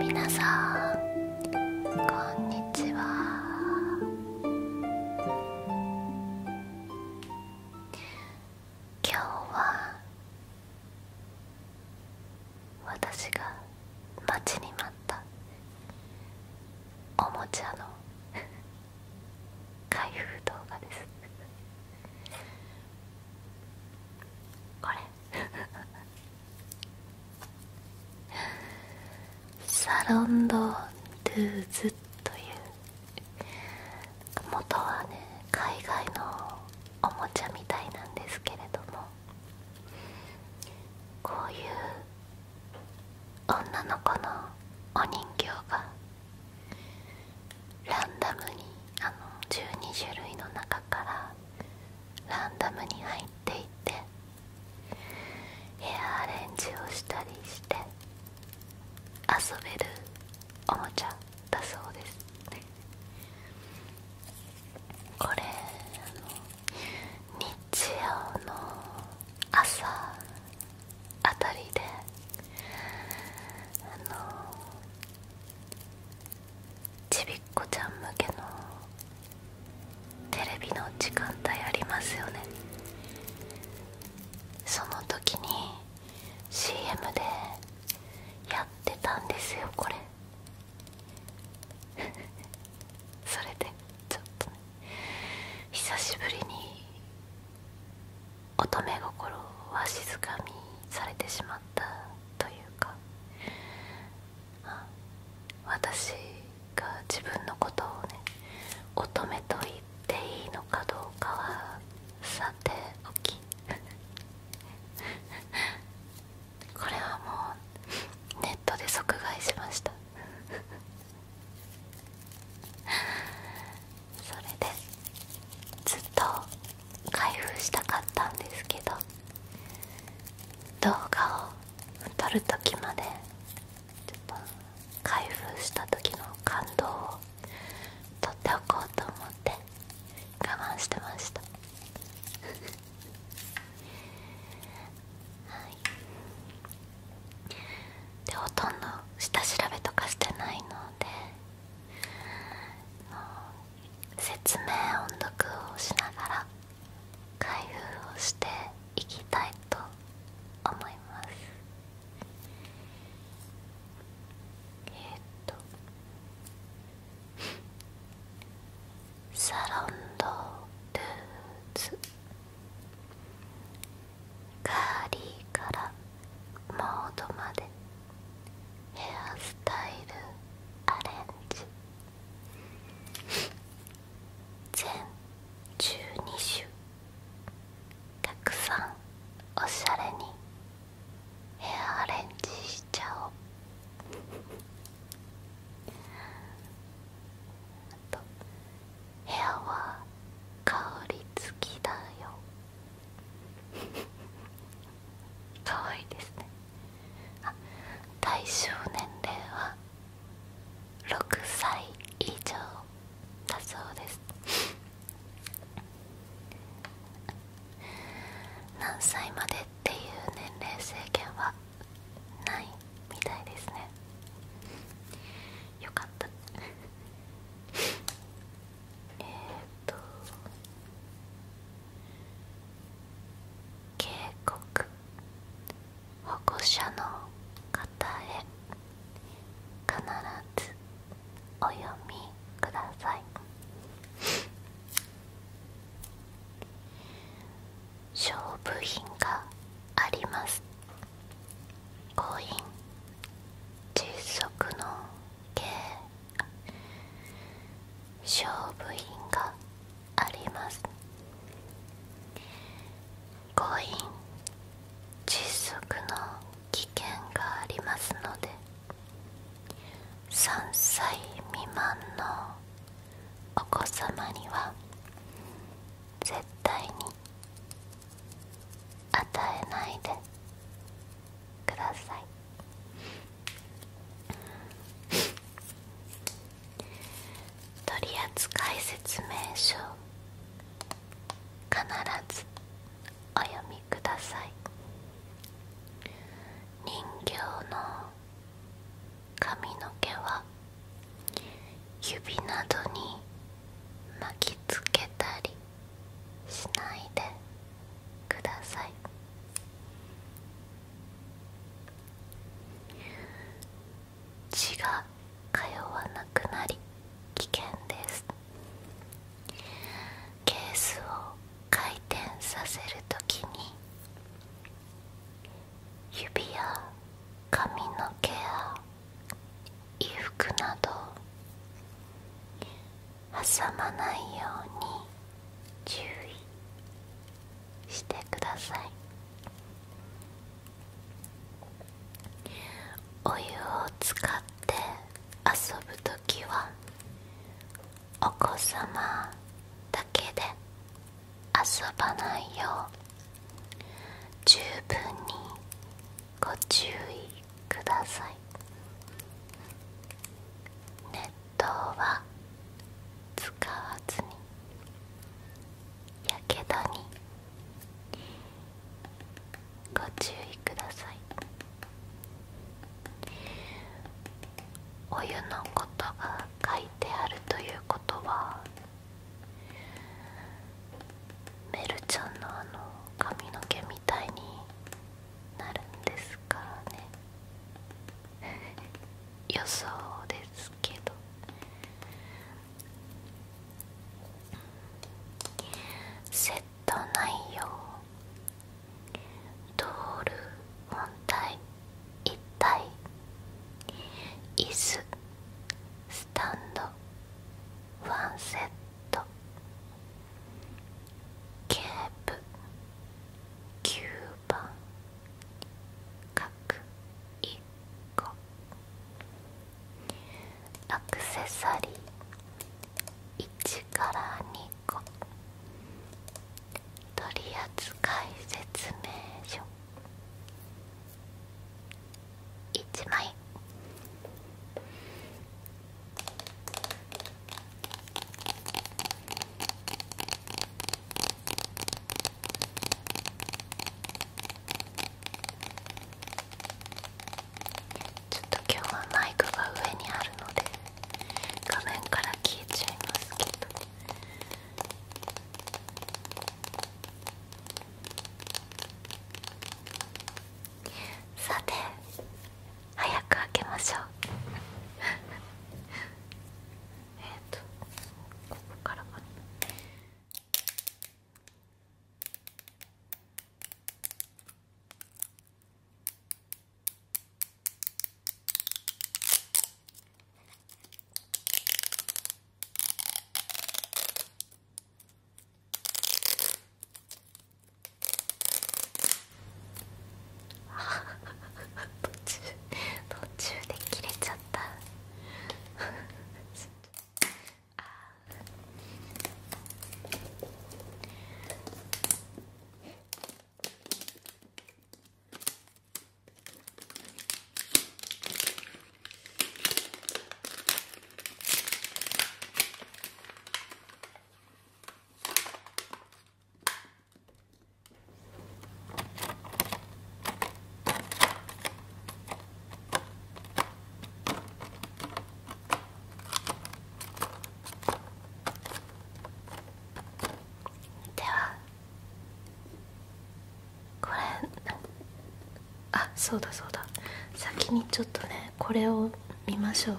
皆さんこんにちは今日は私が待ちに待ったおもちゃの開封動画ですこれサロンド・ドゥーズという元はね海外のおもちゃみたいなんですけれどもこういう女の子のお人形がランダムにあの12種類の中からランダムに入っていってヘアアレンジをしたりして遊べるおもちゃだそうですこれ日曜の朝あたりであのちびっこちゃん向けのテレビの時間帯ありますよねその時に CM でやってたんですよこれ それでちょっとね久しぶりに乙女心は静かにされてしまったというか私が自分のことをね乙女と言っていいのかどうかはさておき これはもうネットで即買いしました それでずっと開封したかったんですけど動画を撮る時まで開封した時の感動をとっておこうと思って我慢してましたはい でほとんど下調べとかしてないので説明音読をしながら開封をしていきたいと思いますえっと「サロンド・ルーズ」カーリーからモードまでヘアスタイルアレンジ全12種たくさんおしゃれにヘアアレンジしちゃおうあと部屋は香り付きだよかわいいですねあ対象年齢は6歳以上だそうです何歳までっていう年齢制限はないみたいですねよかったえっ、ー、と警告保護者の方へ必ずお読みください勝負品がありますコイン窒息の刑勝負員がありますコイン窒息の危険がありますので3歳未満のお子様には絶対に与えないでください取扱説明書必ずお読みください人形の髪の毛は指などに巻きつけたりしないでください血が通わなくなり危険ですケースを回転させるときに指や髪の毛や衣服など挟まないように注意してくださいお湯を使って遊ぶ時はお子様だけで遊ばないよう十分にご注意ください熱湯は使わずにやけどにご注意くださいお湯のことが書いてあるということはメルちゃんのあの髪の毛みたいになるんですからね 予想ですけどセット内容通るル本体一体椅子スタンドワンセットケープ9番各1個アクセサリー1から2個取扱説明書1枚ちょっと今日はマイクが上にあるので画面から消えちゃいますけど。さて早く開けましょう えっとここからかな途中途中で切れちゃったあ ではこれあそうだそうだ先にちょっとねこれを見ましょう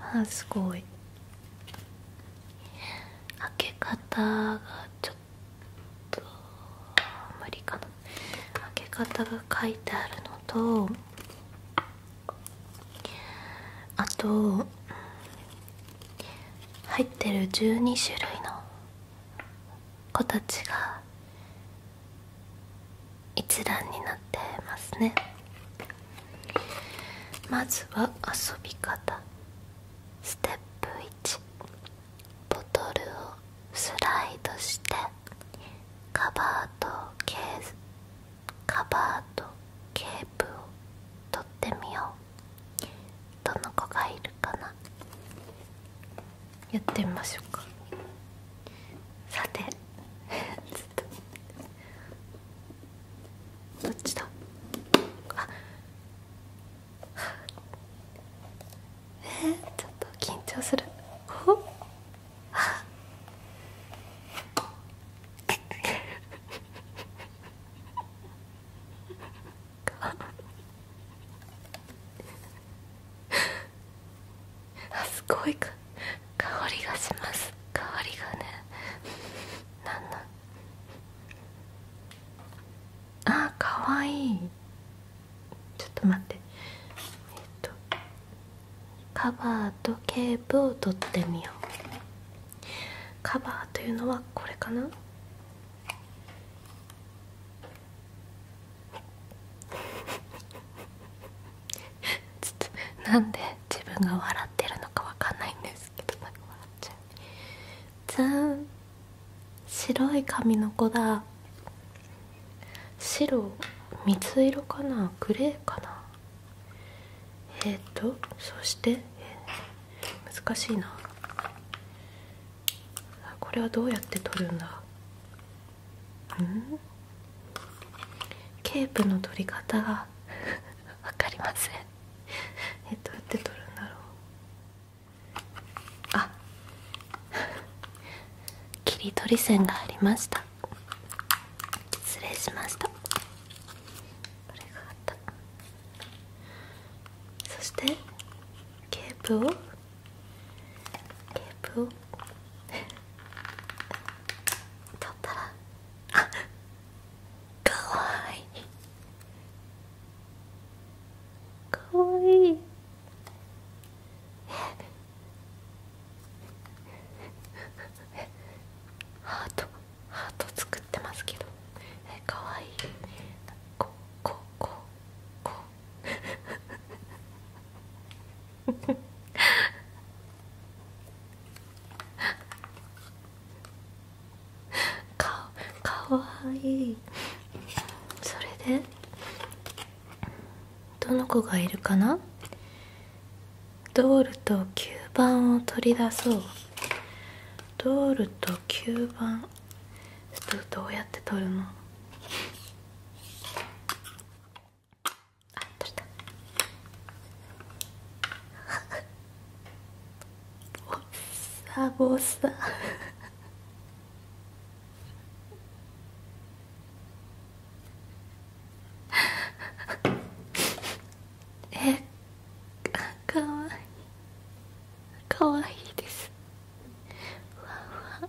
あすごい開け方がちょっと無理かな開け方が書いてあるのとあと入ってる12種類の子たちが一覧になってますねまずは遊び方ステップ1ボトルをスライドしてカバーとケースカバーとケープを取ってみようどの子がいるかなやってみましょうかさてちょっとどっちだあえちょっと緊張するああ。すごい香りがします香りがねななんあーかわいいちょっと待ってえっとカバーとケープを取ってみようカバーというのはこれかなちょっとなんで自分が笑ってるのかわかんないんですけどなんか笑っちゃうずーん白い髪の子だ白水色かなグレーかなえっとそして、えー、難しいなこれはどうやって取るんだうんケープの取り方が分 かりませんえどうやって取るんだろうあ切り取り線がありました失礼しましたこれがあったそしてケープをケープを 取ったらあかわいいかわいいえ。ハートハート作ってますけどえ、かわいいこうこうこうかかわいいそれでどの子がいるかなドールと吸盤を取り出そうドールと吸盤どうやって取るのあ取れたおっ、サボサえかわいいかわいいですふわふわ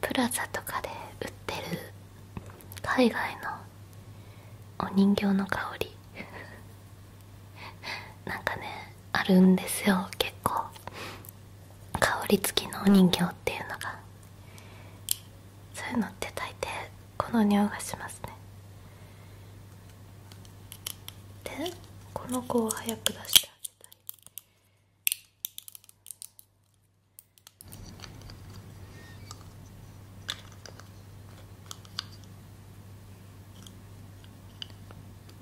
プラザとかで売ってる海外のお人形の香り なんかねあるんですよ結構香り付きのお人形っていうのがそういうのって大抵この匂いがしますねでこの子を早く出してあげたい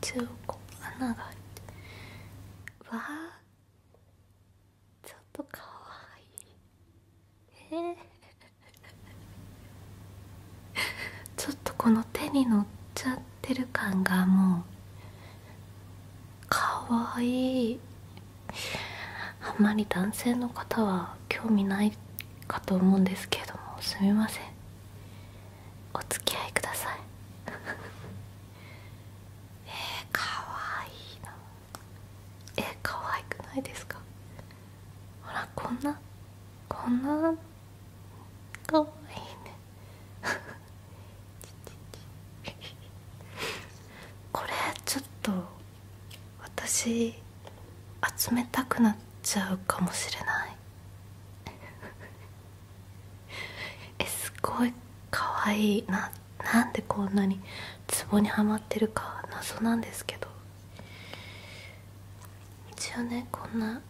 中こ穴が開いてわあちょっとかわいいえちょっとこの手に乗っちゃってる感がもうかわいいあんまり男性の方は興味ないかと思うんですけれどもすみませんお付き合いください えー、かわいいなえー、かわいくないですかほらこんなこんなかわいいねこれちょっと私集めたくなっちゃうかもしれないえすごい可愛いななんでこんなにツボにはまってるか謎なんですけど一応ねこんな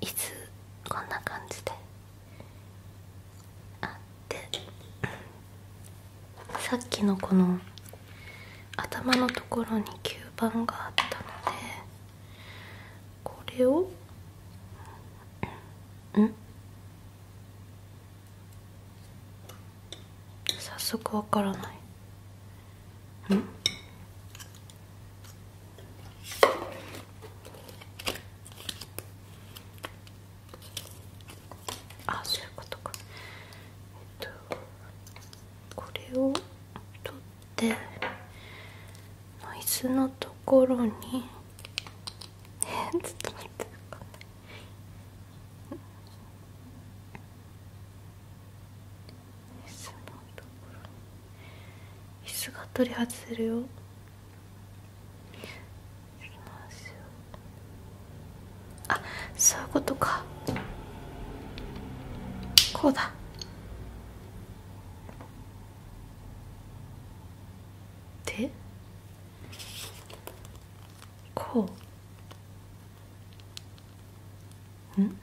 いつ。こんな感じであでさっきのこの頭のところに吸盤があったのでこれをん早速わからないんあそういうことかえっとこれを取ってノイズのところにえちょっと待ってわかんない椅子のところに椅子が取り外せるよますよ。あそういうことかこうだでこう。うん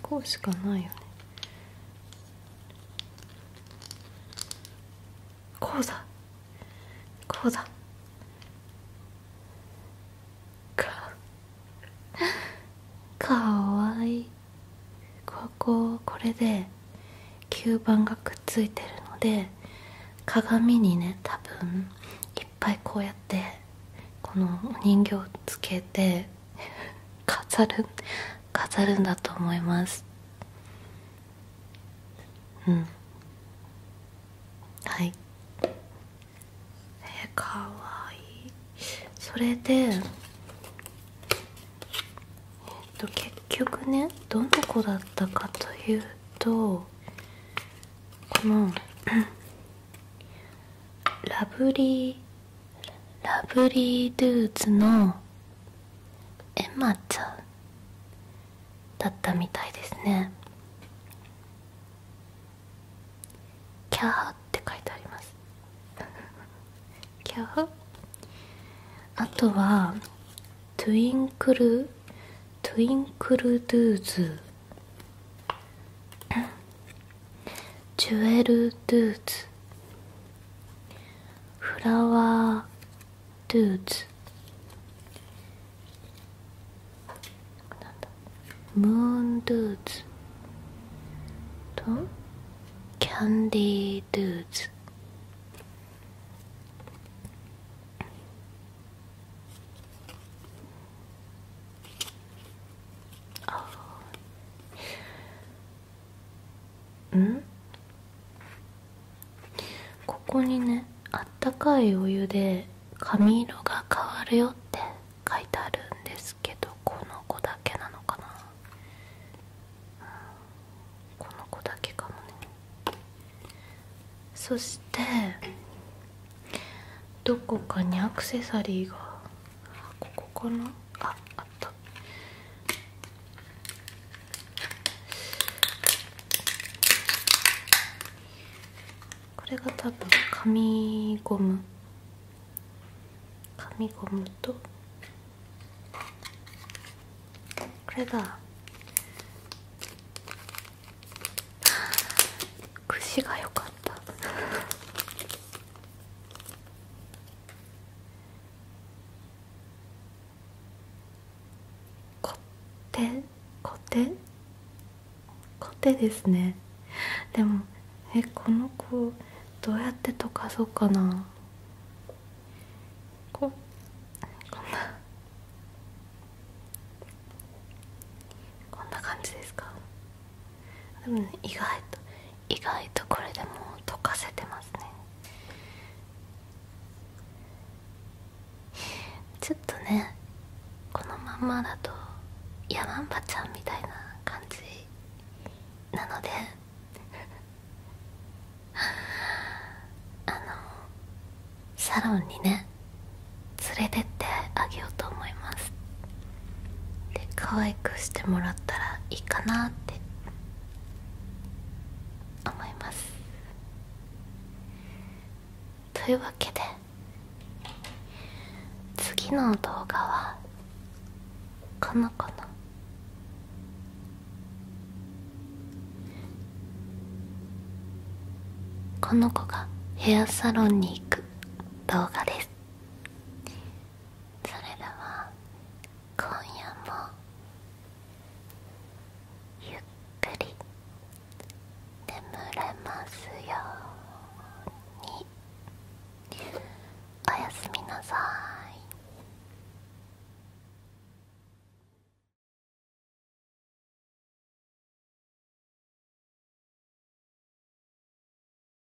こうしかないよねこうだこうだかわいいこここれで吸盤がくっついてるので鏡にね多分いっぱいこうやってこのお人形つけて飾る飾るんだと思いますうんはいえかわいいそれでえっと結局ねどの子だったかというとこのラブリーラブリードゥーズのエマちゃんだったみたいですねキャーって書いてありますキャーあとはトゥインクルトゥインクルドゥーズジュエル・ドゥーツフラワー・ドゥーツムーン・ドゥーツとキャンディー・ドゥーツうんここにねあったかいお湯で髪色が変わるよって書いてあるんですけどこの子だけなのかな、うん、この子だけかもねそしてどこかにアクセサリーがここかなああったこれが多分紙ゴム紙ゴムとこれだ串 が良かったこテコテコテですねでもえこの子どうやって溶かそうかなここんなこんな感じですかでも意外と意外とこれでもう溶かせてますねちょっとねこのまんまだとヤマンバちゃんみたいな感じなのであのサロンにね連れてってあげようと思いますで可愛くしてもらったらいいかなって思いますというわけで次の動画はこの子のこの子がヘアサロンに行く動画ですそれでは今夜もゆっくり眠れますようにおやすみなさい